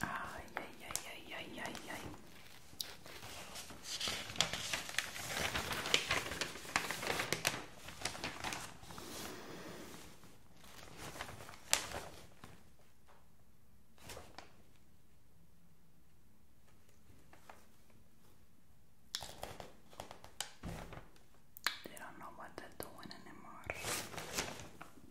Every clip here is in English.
Ay, ay, ay, ay, ay, ay, ay. They don't know what they're doing anymore.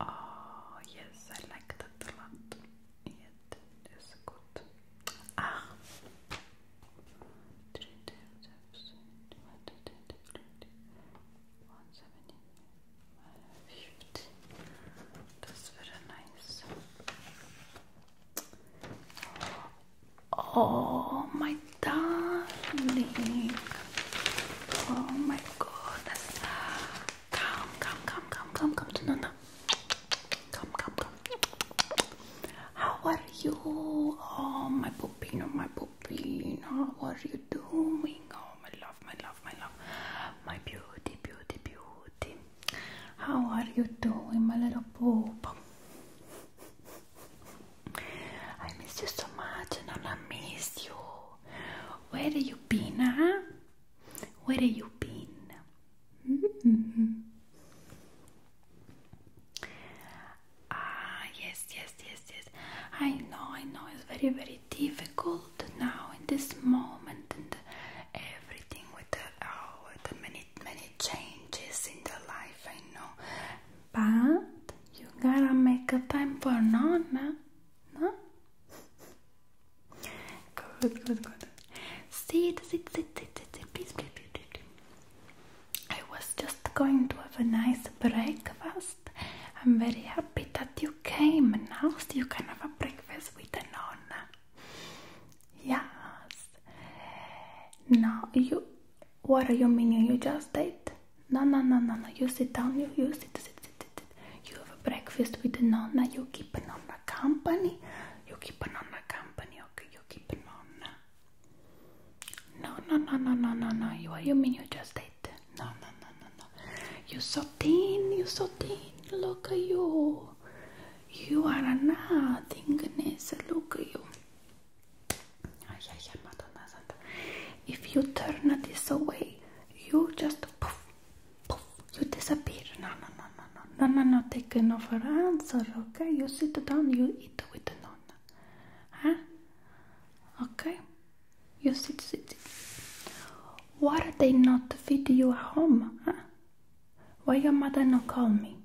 Oh, yes, I like that a lot. It is good. Ah! That's very nice. Oh, my darling. Oh, my goodness. Come, come, come, come, come, come to Nana. Come, come, come. How are you? Oh, my pupino, my pupino. What are you doing? Oh, my love, my love, my love. My beauty, beauty, beauty. How are you doing, my little poop? I miss you so much, and I miss you. Where have you been, huh? Where have you been? Mm-hmm. Ah, yes, yes, yes, yes. I know, I know. It's very, very difficult now in this moment, and everything with the, oh, the many, many changes in the life, I know, but you gotta make a time for Nonna, no? Good, good, good. Sit, sit, sit, sit, sit, sit, please, please, please, please. I was just going to have a nice breakfast. I'm very happy that you came. Now so you can have a breakfast with a Yes. Now you what are you meaning? You just ate? No no no no no you sit down, you, you sit, sit, sit, sit. You have a breakfast with Nonna, you keep Nonna company. You keep Nonna company, okay, you keep Nonna. No no no no no no no you what you mean you just ate? No no no no no. You so thin, you so thin, look at you. You are a nothingness, look at you. If you turn this away, you just poof, poof, you disappear. No, no, no, no, no, no, no, no. Take no for answer, okay? You sit down, you eat with the nonna, huh? Okay, you sit, sit, sit. Why they not feed you at home, huh? Why your mother not call me?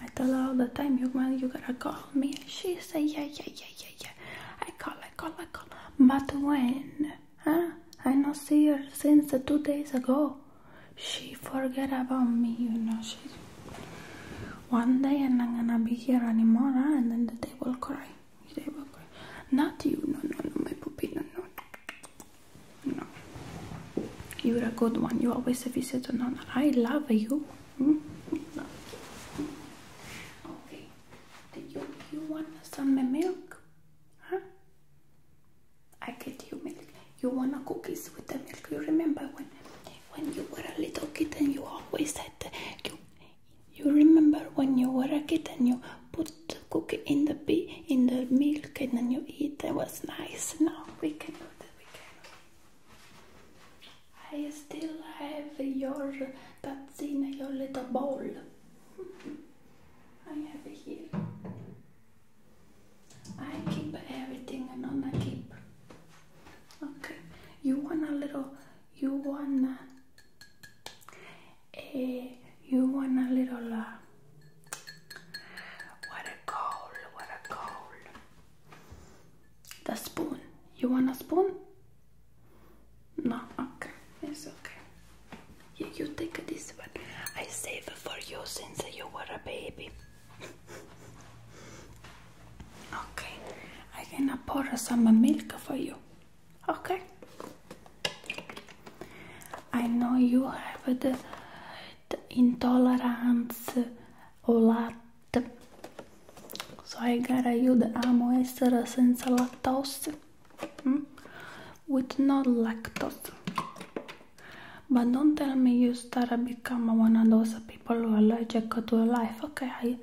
I tell her all the time, you mother, you gotta call me. She say, yeah, yeah, yeah, yeah, yeah. I call, I call, I call. But when? Huh? I not see her since two days ago. She forget about me, you know. She one day and I'm gonna be here anymore, and then they will cry. They will cry. Not you, no, no, no, my puppy, no, no. No. You're a good one. You always have said an honor. I love you. Hmm? Okay. you, you want some milk? Huh? I get you milk. You want cookies with the milk. You remember when when you were a little kid and you always said you you remember when you were a kid and you put the cookie in the in the milk and then you eat. That was nice. Now we can do. I still have your tazzina, your little bowl. I have it here. I keep everything and I keep. Okay. You want a little you want a, a eh, you want a little uh, what a goal, what a goal. The spoon. You want a spoon? No, okay. It's okay. You, take this one. I save for you since you were a baby. okay. I gonna pour some milk for you. Okay. I know you have the intolerance o lact. so I gotta use amo essere senza lactose with no lactose but don't tell me you start to become one of those people who are allergic to life okay I,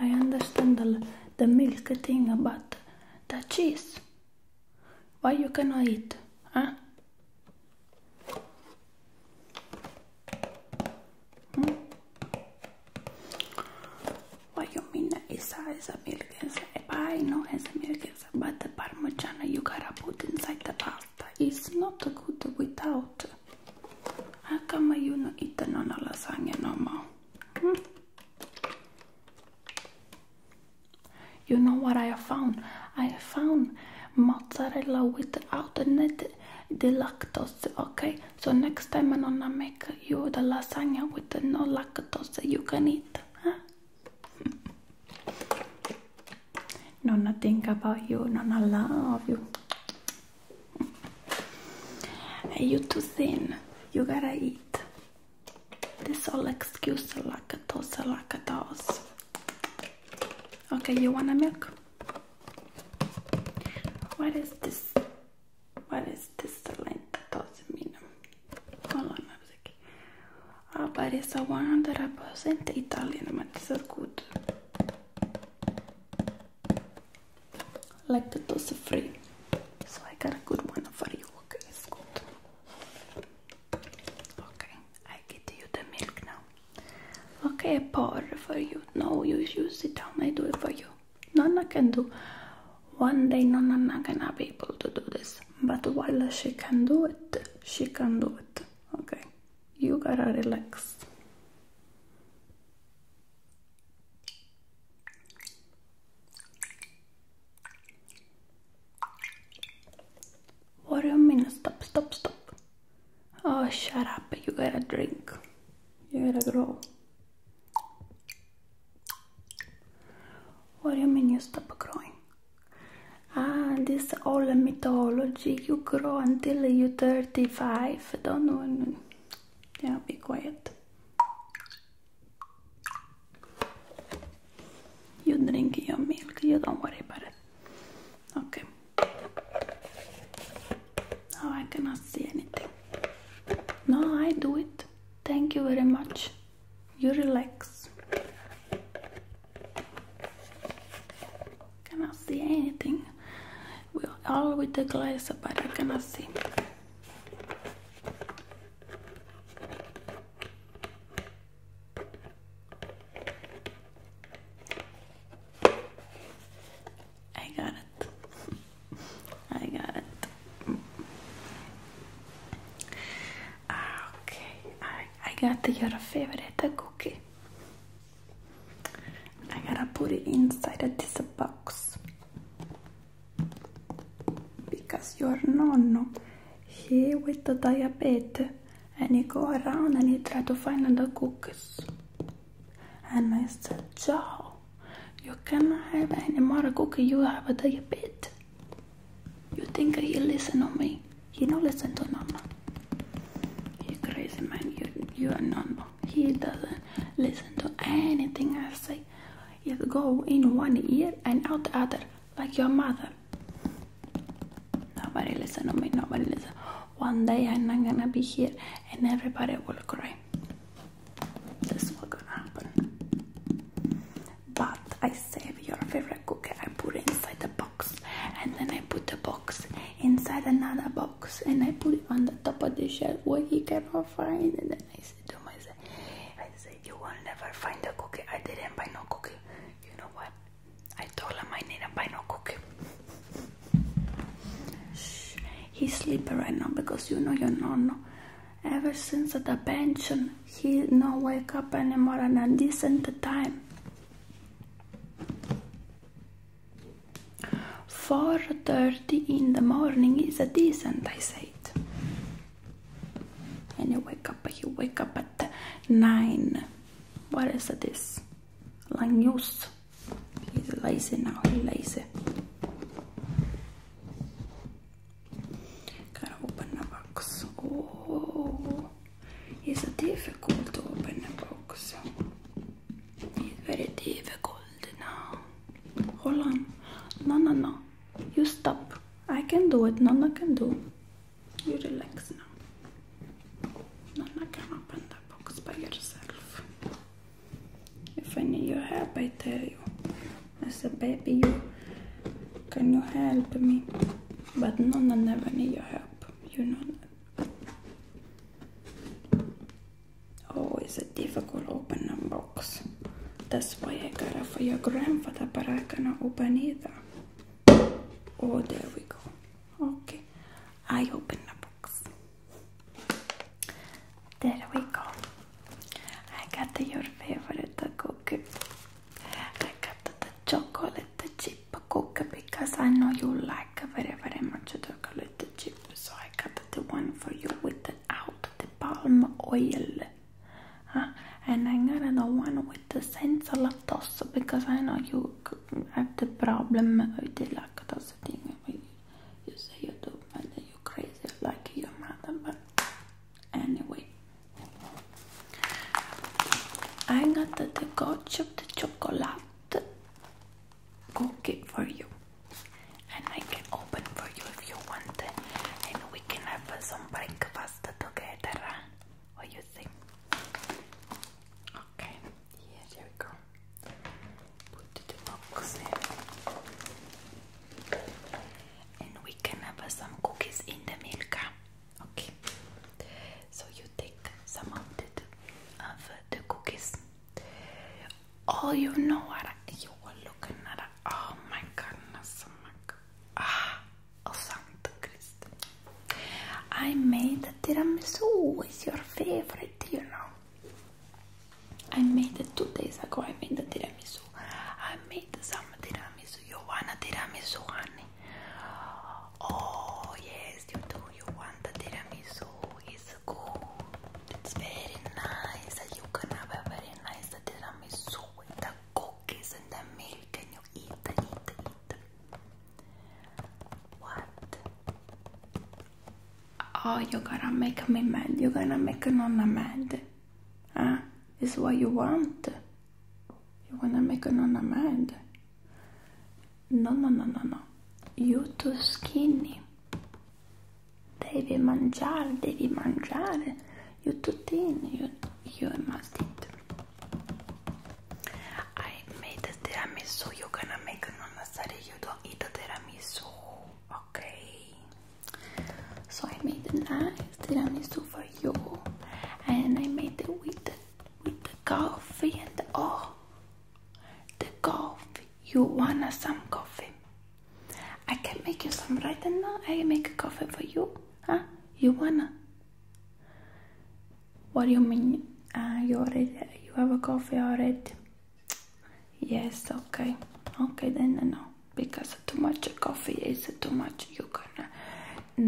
I understand the, the milk thing but the cheese why you cannot eat huh? Why you mean Isa is a milk is a pie, no a milk is but the Parmesan you gotta put inside the pasta. It's not good without how come you no eat no lasagna no more? Hmm? You know what I have found? I have found mozzarella without net the lactose. Okay, so next time I'm gonna make you the lasagna with no lactose you can eat. Huh? Nonna think about you. Nonna love you. Hey, you too thin. You gotta eat. This all excuse lactose, lactose. Okay, you want a milk? What is this? What is this line? That doesn't mean. Hold on a second. that I it's a Italian, but it's so good. Like the toast free. So I got a good one for you. Okay, it's good. Okay, I get you the milk now. Okay, pour for you. No, you use it down. I do it for you. No, Nana can do. One day no, Nana gonna be able to do this. But while she can do it, she can do it. Okay, you gotta relax. What do you mean? Stop, stop, stop. Oh, shut up. You gotta drink. You gotta grow. What do you mean you stop growing? Ah, this old mythology. You grow until you're 35. Don't know. Yeah, be quiet. You drink your milk. You don't worry about it. Okay. Oh, I cannot see anything. No, I do it. Thank you very much. You relax. Cannot see anything. we all with the glass, but I cannot see. I got it. I got it. Okay, I, got your favorite cookie. I gotta put it inside of this box because your nonno, he with the diabetes, and he go around and he try to find other cookies. And I said, Joe, you cannot have any more cookie, you have a diabetes. You think he listen to me? He don't listen to mama. You crazy man, you, you are Nana. He doesn't listen to anything I say. He go in one ear and out the other, like your mother. Nobody listen to me, nobody listen. One day I'm not gonna be here and everybody will cry. This will gonna happen. But I save your favorite cookie, I put it inside the box and then I put the box inside another box and I put it on the top of the shelf where he can't find it and I say to myself I say you will never find the cookie. I didn't buy no cookie. You know what? I told him I need a buy cookie. he's sleeping right now because you know your nonno. Ever since the pension, he no wake up anymore at a decent time. Four thirty in the morning is a decent, I said. And you wake up. He wake up at nine. What is a this? Langus. He's lazy now, he's lazy. Gotta open a box. Oh, it's difficult to open a box. It's very difficult now. Hold on. No, no, no. You stop. I can do it. Nana can do. You relax now. Nana can open the box by yourself. If I need your help, I tell you. As a baby, you can you help me? But no, Nana never need your help. You know that. Oh, it's a difficult open a box. That's why I got it for your grandfather, but I cannot open it. Oh, there we go. Okay, I open the box. There we go. I got your favorite cookie. I got the chocolate chip cookie because I know you like very very much the chocolate chip. So I got the one for you without the palm oil. Huh? And I got the one with the sense of lactose because I know you I have the problem with the of lactose thing. You say you do, but you are crazy like your mother. But anyway, I got the gotch of the chocolate cookie for you, and I can open for you if you want, it, and we can have some breakfast together. What you think? Okay, yeah, there we go. Put the box in. And we can have uh, some cookies in the milk. Okay. So you take some of the, of the cookies. Oh, you know what? You were looking at. Oh my goodness. Oh God. Ah, a Santa I made tiramisu. It's your favorite, you know. I made it two days ago. I made the tiramisu. I made some tiramisu. You want a tiramisu, honey? Oh yes, you do. You want the tiramisu? It's good. It's very nice. You can have a very nice tiramisu with the cookies and the milk, and you eat, eat, eat. What? Oh, you're gonna make me mad. You're gonna make Nonna mad. Huh? Is what you want? You wanna make Nonna mad? No, no, no, no, no. You too skinny. Devi mangiare, devi mangiare. You too thin. You, you must eat. I made the tiramisu. You're gonna make another study. You don't eat the tiramisu, okay? So I made the nice tiramisu for you, and I made it with the, with the coffee and the, oh, the coffee. You wanna some coffee? I can make you some right now. I make a coffee for you, huh? You wanna? What do you mean? Uh, you already you have a coffee already? Yes. Okay. Okay. Then no, because too much coffee is too much. You can.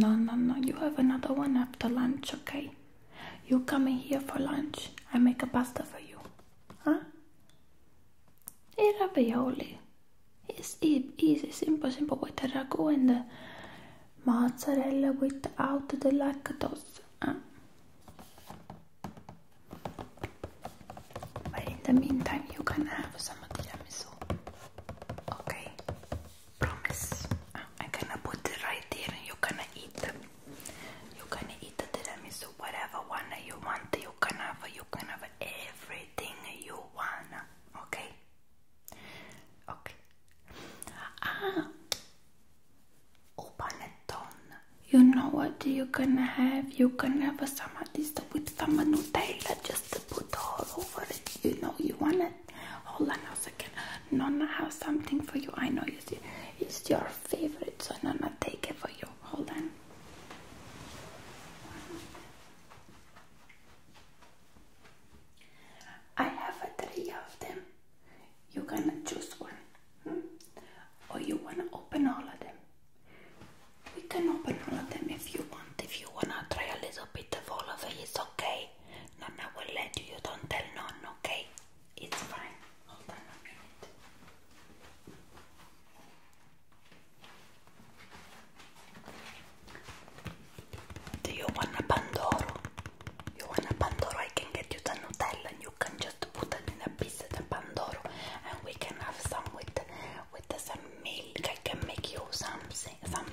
No, no, no. You have another one after lunch. Okay. You come in here for lunch. I make a pasta for you. Huh? ravioli. It's easy, simple, simple with the ragu and the mozzarella without the lactose. Ah. But in the meantime, you can have some tiramisu. Okay, promise. Ah, I'm gonna put it right there, and you're gonna eat. You're gonna eat the tiramisu, whatever one you want. You can have. You can have everything you want. Okay. Ok. Ah! Panettone. You know what you are gonna have? You can have a samadista with some Nutella just to put all over it. You know, you want it? Hold on a second. Nonna have something for you. I know you see. It's your favorite, so Nonna take it for you. Hold on. I have three of them you gonna choose one hmm? or you want to open all of them we can open all of them if you want if you want to try a little bit of all of it it's okay nonna will let you you don't tell none okay it's fine do you want a pandoro you want a Pandoro? I can get you the Nutella and you can just put it in a piece of the Pandoro and we can have some with with some milk. I can make you something, some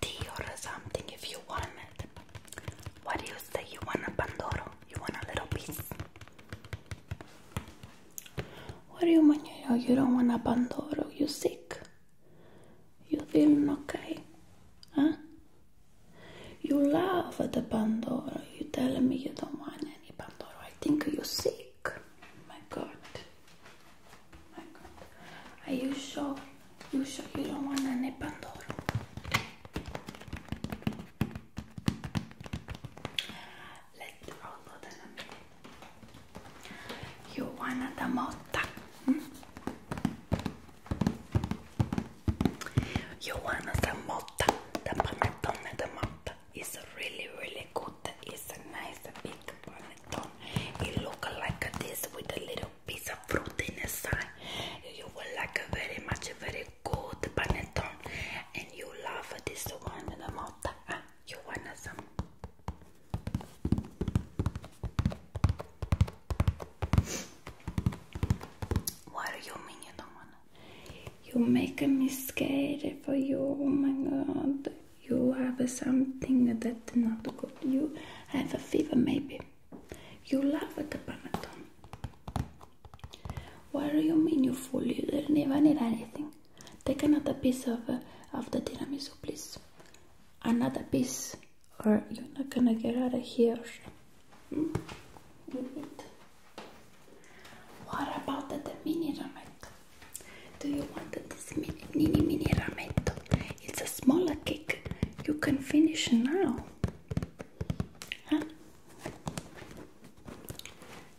tea or something if you want it. What do you say? You want a Pandoro? You want a little piece? What do you mean you don't want a Pandoro? You sick? You feel okay? Huh? You laugh at the Pandora. You tell me you don't want any Pandora. I think you're sick. My God. My God. Are you sure? You sure you don't want any Pandora? You want a Damotta? Johanna Motta, the panettone de Motta is really really good. It's a nice big panettone. It looks like this with a little piece of fruit in the side. You will like a very much very good panettone, and you love this one the Motta. Ah, you want some? Why do you mean you do You make me scared for you. Oh my god. You have something that's not good. You have a fever, maybe. You love the Panadol. Why do you mean, you fool? You didn't even need anything. Take another piece of, uh, of the tiramisu, please. Another piece or you're not gonna get out of here. What about the, mini rametto? Do you want this mini mini, mini rametto? It's a smaller cake. You can finish now.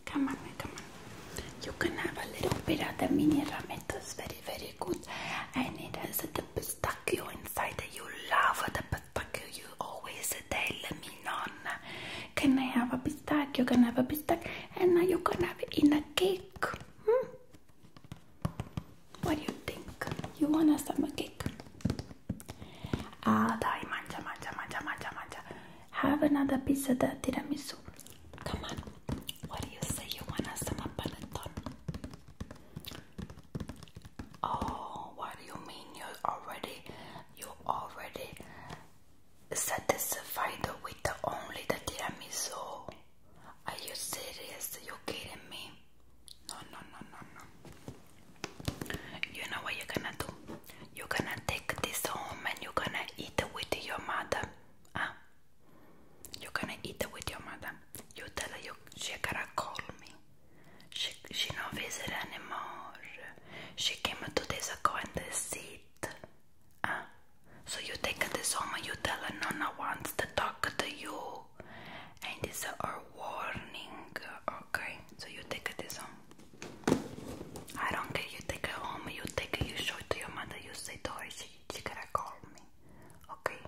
Come on, come on. You can have a little bit of the mini rametto. It's very, very good. And it has the pistachio inside. You love the pistachio. You always tell me non. Can I have a pistachio? Can I have a pistachio? And now you can have it in a cake. Hmm? What do you think? You want a summer cake? Ah, dai, mangia, mangia, mangia, mangia, mangia. Have another piece of the tiramisu. Come on. What do you say? You want a summer panettone? Oh, what do you mean you already you already satisfied with the only the tiramisu? Are you serious? You kidding me? No, no, no, no, no. You know what you're gonna do? You're gonna take this home and you're gonna eat it with your mother. Huh? You're gonna eat it with your mother. You tell her you, she gotta call me. She, she no visit anymore. She came two days ago and that's it. So you take this home you tell her Nona wants to talk to you. And it's a warning, okay? So you take this home. I don't care, you take her home, you take her, you show it to your mother, you say to her, she, she gotta call me, okay?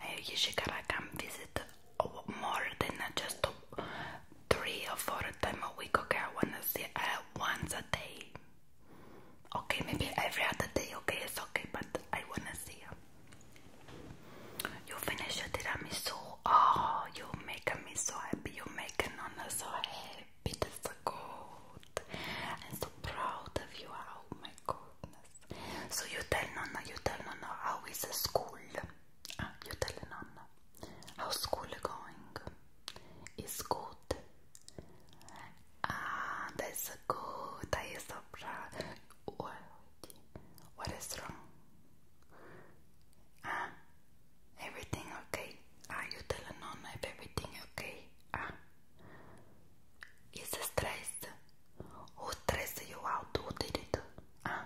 I eh, usually gotta come visit more than just three or four times a week. Okay, I wanna see uh, once a day. Okay, maybe every other day. Okay, it's okay, but I wanna see you. You finish your tiramisu. Oh, you make me so happy. You make Nonna so happy. That's so good. I'm so proud of you. Oh my goodness. So you tell Nonna, you tell Nonna how is the school? Ah, you tell Nonna how school going? Is good. Ah, that's good. I am so proud. What is wrong? Ah, everything okay? Ah, you tell Nonna if everything okay? Ah, is stress? Who stresses you out? Who did it? Huh?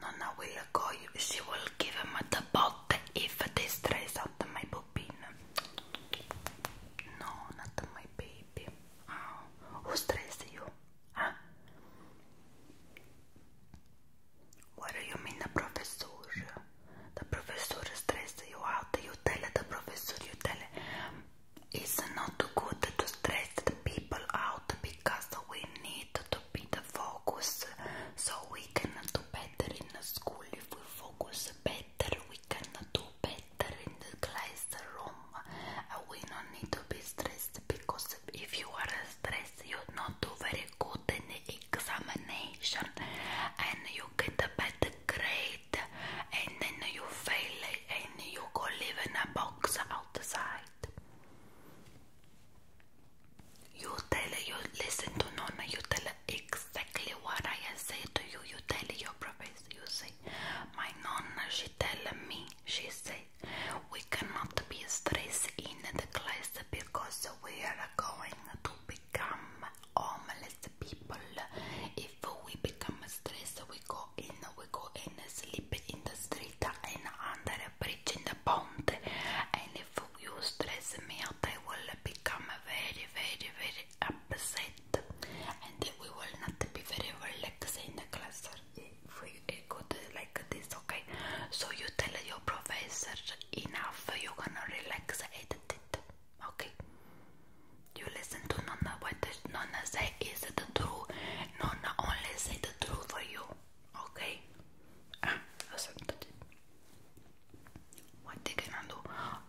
Nonna will call She will give him the bot if they stress out my pupin. No, not my baby. Who oh, stressed you? Huh? What do you mean professor? The professor stressed you out. You tell the professor, you tell it's not good to stress the people out because we need to be the focus so we can do better in school. If we focus better, we can do better in the classroom. We don't need to be stressed because if you are stressed, you not do very good in the examination and you get a bad grade and then you fail and you go live in a box outside. You tell you listen to Nona, you tell exactly what I said to you. You tell your professor, you say, My Nonna, she tell me, she say, we cannot be stressed in the class because we are going to become homeless people if if we become stressed, we go in, we go and sleep in the street and under a bridge in the pond. And if you stress a out, I will become very, very, very upset, and we will not be very relaxed in the class if we go like this. Okay, so you tell your professor enough. You're gonna relax, edit it. Okay. You listen to Nonna. What does Nonna say? Is it the truth? Nonna only say the truth for you. Okay? Ah, listen to What they gonna do?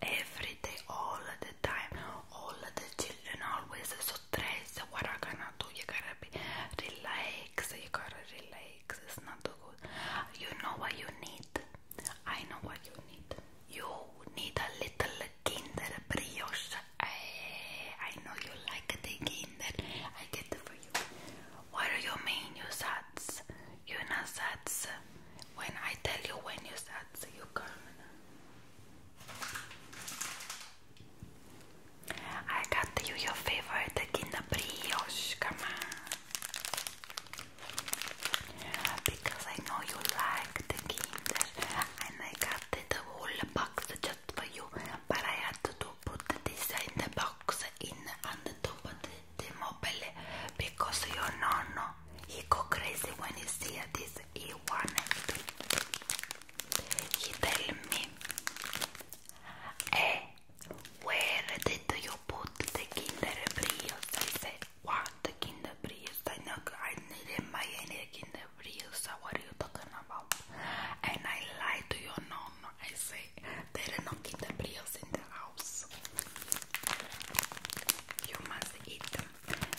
Every day, all the time, all the children always so stressed. What are gonna do? You gotta be relaxed. You gotta relax. It's not too good. You know what you need. I know what you need. You need a little kinder brioche I, I know you like the taking that. I get for you. What are your main you sats? You not sats. When I tell you when you sats, you come. I got you your favorite the Brioche. Come on. Because I know you like the Kinder, and I got at the whole box just for you, but I had to put this in the box in on the top of the, the mobile because your nonno he go crazy when he see this. He wanted to. He tell me, "Hey, eh, where did you put the Kinder Brios?" I said, "What Kinder Brios? I know I didn't buy any Kinder." What are you talking about? And I lie to your nonna. I say they did not keep in the house. You must eat them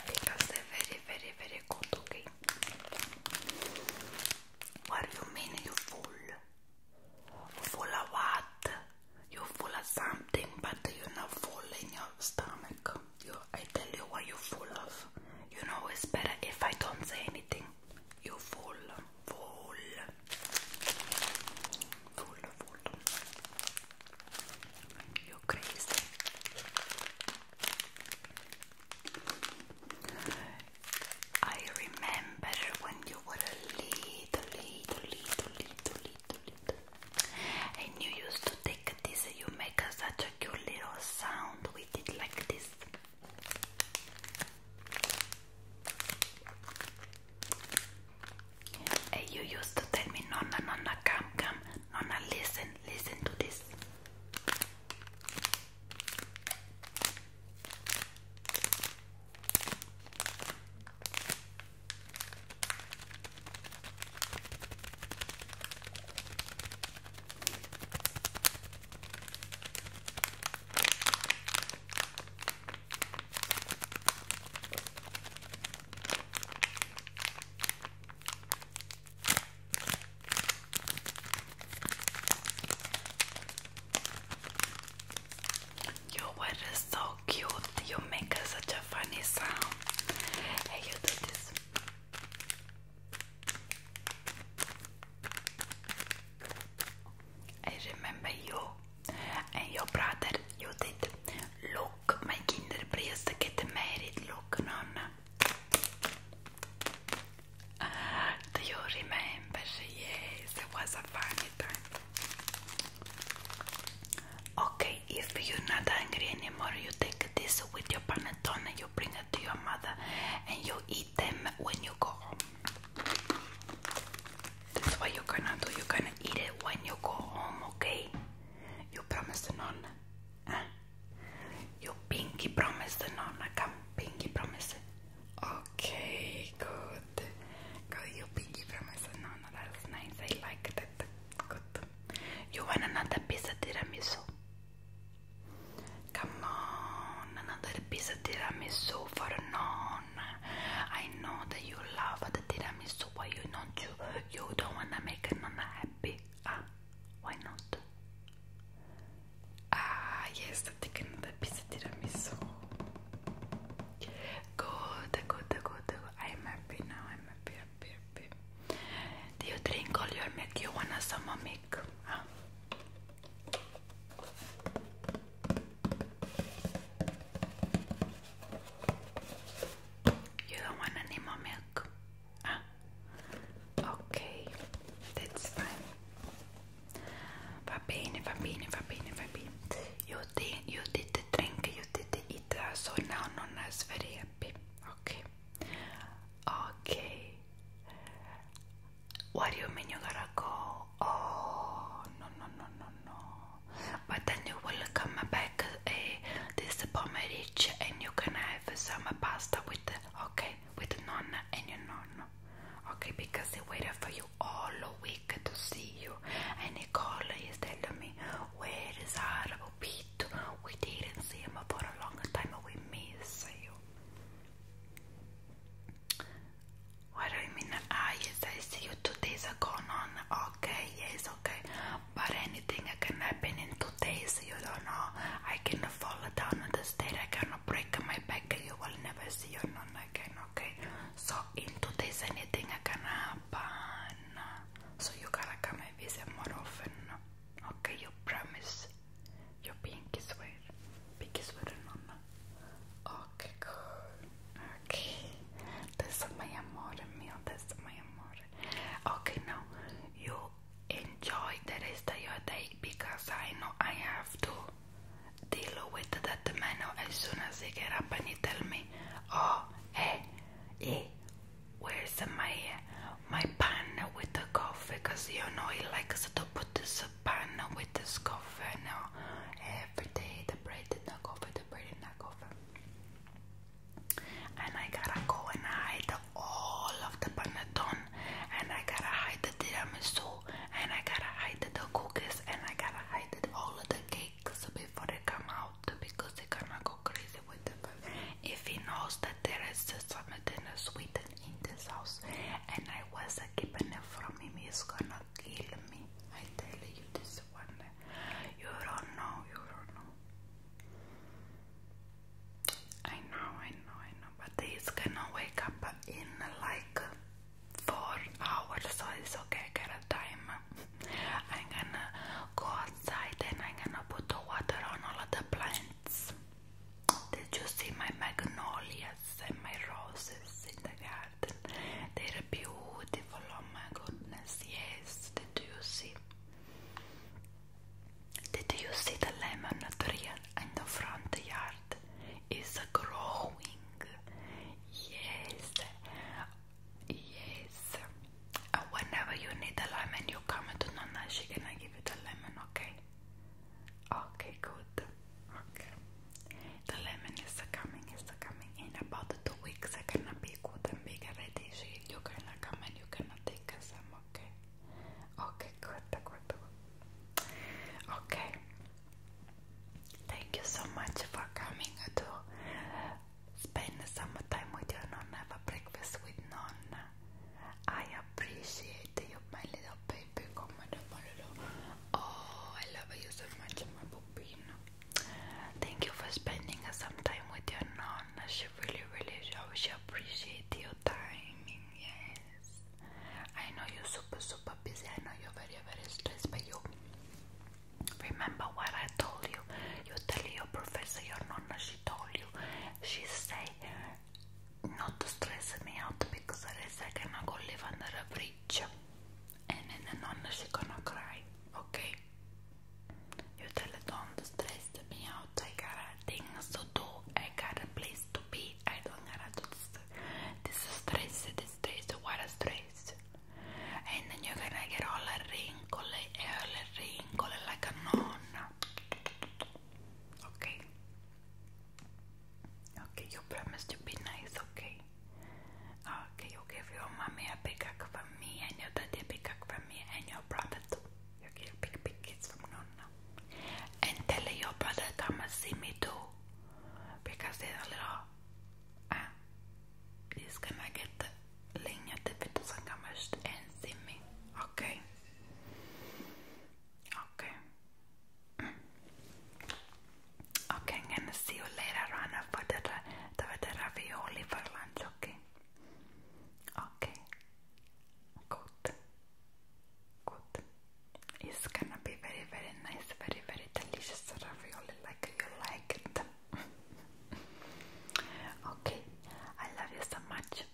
because they're very, very, very good. Okay. What do you mean you fool? Full of what? You're full of something, but you're not full in your stomach. I tell you what you're full of. You know it's better if I don't say anything. You're full, full, full, full. You're crazy. I remember when you were a little, little, little, little, little, little. And you used to take this, you make such cute little sound with it like this. Hey, you used to tell me, Nonna, Nonna, come, come, Nonna, listen, listen to this. Your word so cute. You make such a funny sound. Hey, you do this. I remember you and your brother, you did. Look, my kinder priest to get married, look, nonna. Do you remember? Yes, it was a funny time. Okay, if you're not angry anymore, you take this with your panettone and you bring it to your mother and you eat them when you go home. That's what you're gonna do. You're gonna eat it when you go home, okay? You promise the nonna. Huh? You pinky promise the nonna. Come, pinky promise. Okay, good. Good, you pinky promise the nonna. That's nice. I like that. Good. You want another piece of tiramisu? Come on, another piece of tiramisu for non. I know that you love the tiramisu, why you don't you you don't wanna make non happy? Ah, why not? Ah yes, taking take another piece of tiramisu. Go, Good, good, good, good. I'm happy now, I'm happy, do you drink all your milk? You wanna some milk? Ah. You don't want any more milk? Ah. Okay, that's fine. Va bene, va bene, You did, you did drink, you did the eat, so now Nonna is very happy. Okay. Okay. What do you mean you gotta go? Oh, no, no, no, no, no. But then you will come back uh, this pomerich and you can have some pasta with, okay, with nonna and your nonno. Okay, because they waited for you all week to see you. And called and is telling me, where is I. We didn't see him for a long time. but We miss you. What do you mean? I. Ah, yes, I see you two days ago. No, okay, yes, okay. But anything can happen in two days. You don't know. I can fall down on the stairs. I can break my back. You will never see me again. Okay. So in two days, anything can happen. So you gotta come and visit more often. Okay, you promise your pinkies were, pinkies were en mamma. Och cool. Okej. Okay. my amore mio, is my amore. Okay, now you enjoy the rest of your day because I know I have to deal with that man as soon as he get up and he tell me, oh, hey, eh, eh, hey, where's my my pan with the coffee? Cause you know he likes to put the pan with the coffee now every day. The bread did not go coffee, the bread did not go coffee. And I gotta go and hide all of the panettone, and I gotta hide the tiramisu, and I gotta hide the cookies, and I gotta hide all of the cakes before they come out because they're gonna go crazy. If he knows that there is something sweet in this house and I was keeping it from him, he's gonna kill me. I tell you this one. You don't know, you don't know. I know, I know, I know, but he's gonna wake up in like four hours, so it's okay, I got a time. I'm gonna go outside and I'm gonna put the water on all of the plants. Did you see my magnolias and my roses in the garden? They're beautiful, oh my goodness, yes, did you see? Did you see the lemon tree in the front yard? It's growing, yes, yes. Uh, whenever you need a lemon, you come to Nana. she can give you the lemon, okay? Okay, good. Okay. The lemon is coming, is coming in about two weeks. I to be good and big already. You are gonna come and you are gonna take some, okay? Okay, good, good. Okay. Thank you so much for coming to spend the summer time with your nonna, have a breakfast with nonna. I appreciate you, my little baby. Come on, my little. Oh, I love you so much, my pupino. Thank you for spending some time with your nonna. She really, really, she appreciate your timing. Yes, I know you're super, super busy. I know you're very, very stressed, but you remember what I told you. You tell your professor, your nonna. She told you. She say not to stress me out because there is I gonna go live under a bridge and then the nonna she gonna cry, okay? You tell her don't stress me out, I got things to do, I got a place to be, I don't gotta do this, this stress, this stress, what a stress and then you're gonna get all a wrinkle, all a wrinkle like a nonna Okay. Okay, you promise to be nice, okay? Okay, you give your mommy a big hug from me and your daddy a big hug from me and your brother too. You give big big kiss from Nonna. And tell your brother come and see me too. Because they're a little ah he's gonna get the ling if it come and see me. Okay. Okay. Mm. Okay, I'm gonna see you later on for the, the, the ravioli for lunch, okay? Okay. Good. Good. It's gonna be very, very nice, very, very delicious ravioli like you like it. okay, I love you so much.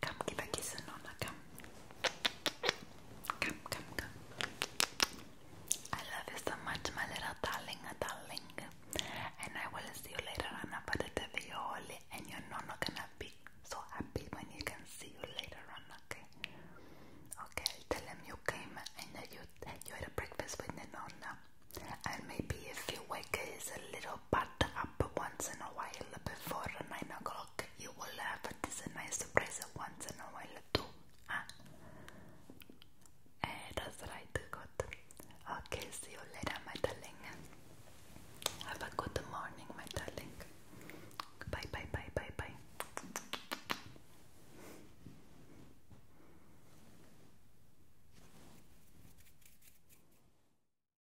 Come, give a kiss and Nonna, come. Come, come, I love you so much, my little darling, darling. And I will see you later on about the video, and you're not not gonna be so happy when you can see you later on, okay? Okay, I'll tell them you came and that you, you had a breakfast with the And maybe if you wake up is a little but up once in a while before 9 o'clock. You will have a nice surprise once in a while too. Ah. Eh, that's right, good. Okay, see you later, my darling. Have a good morning, my darling. Bye, bye, bye, bye, bye.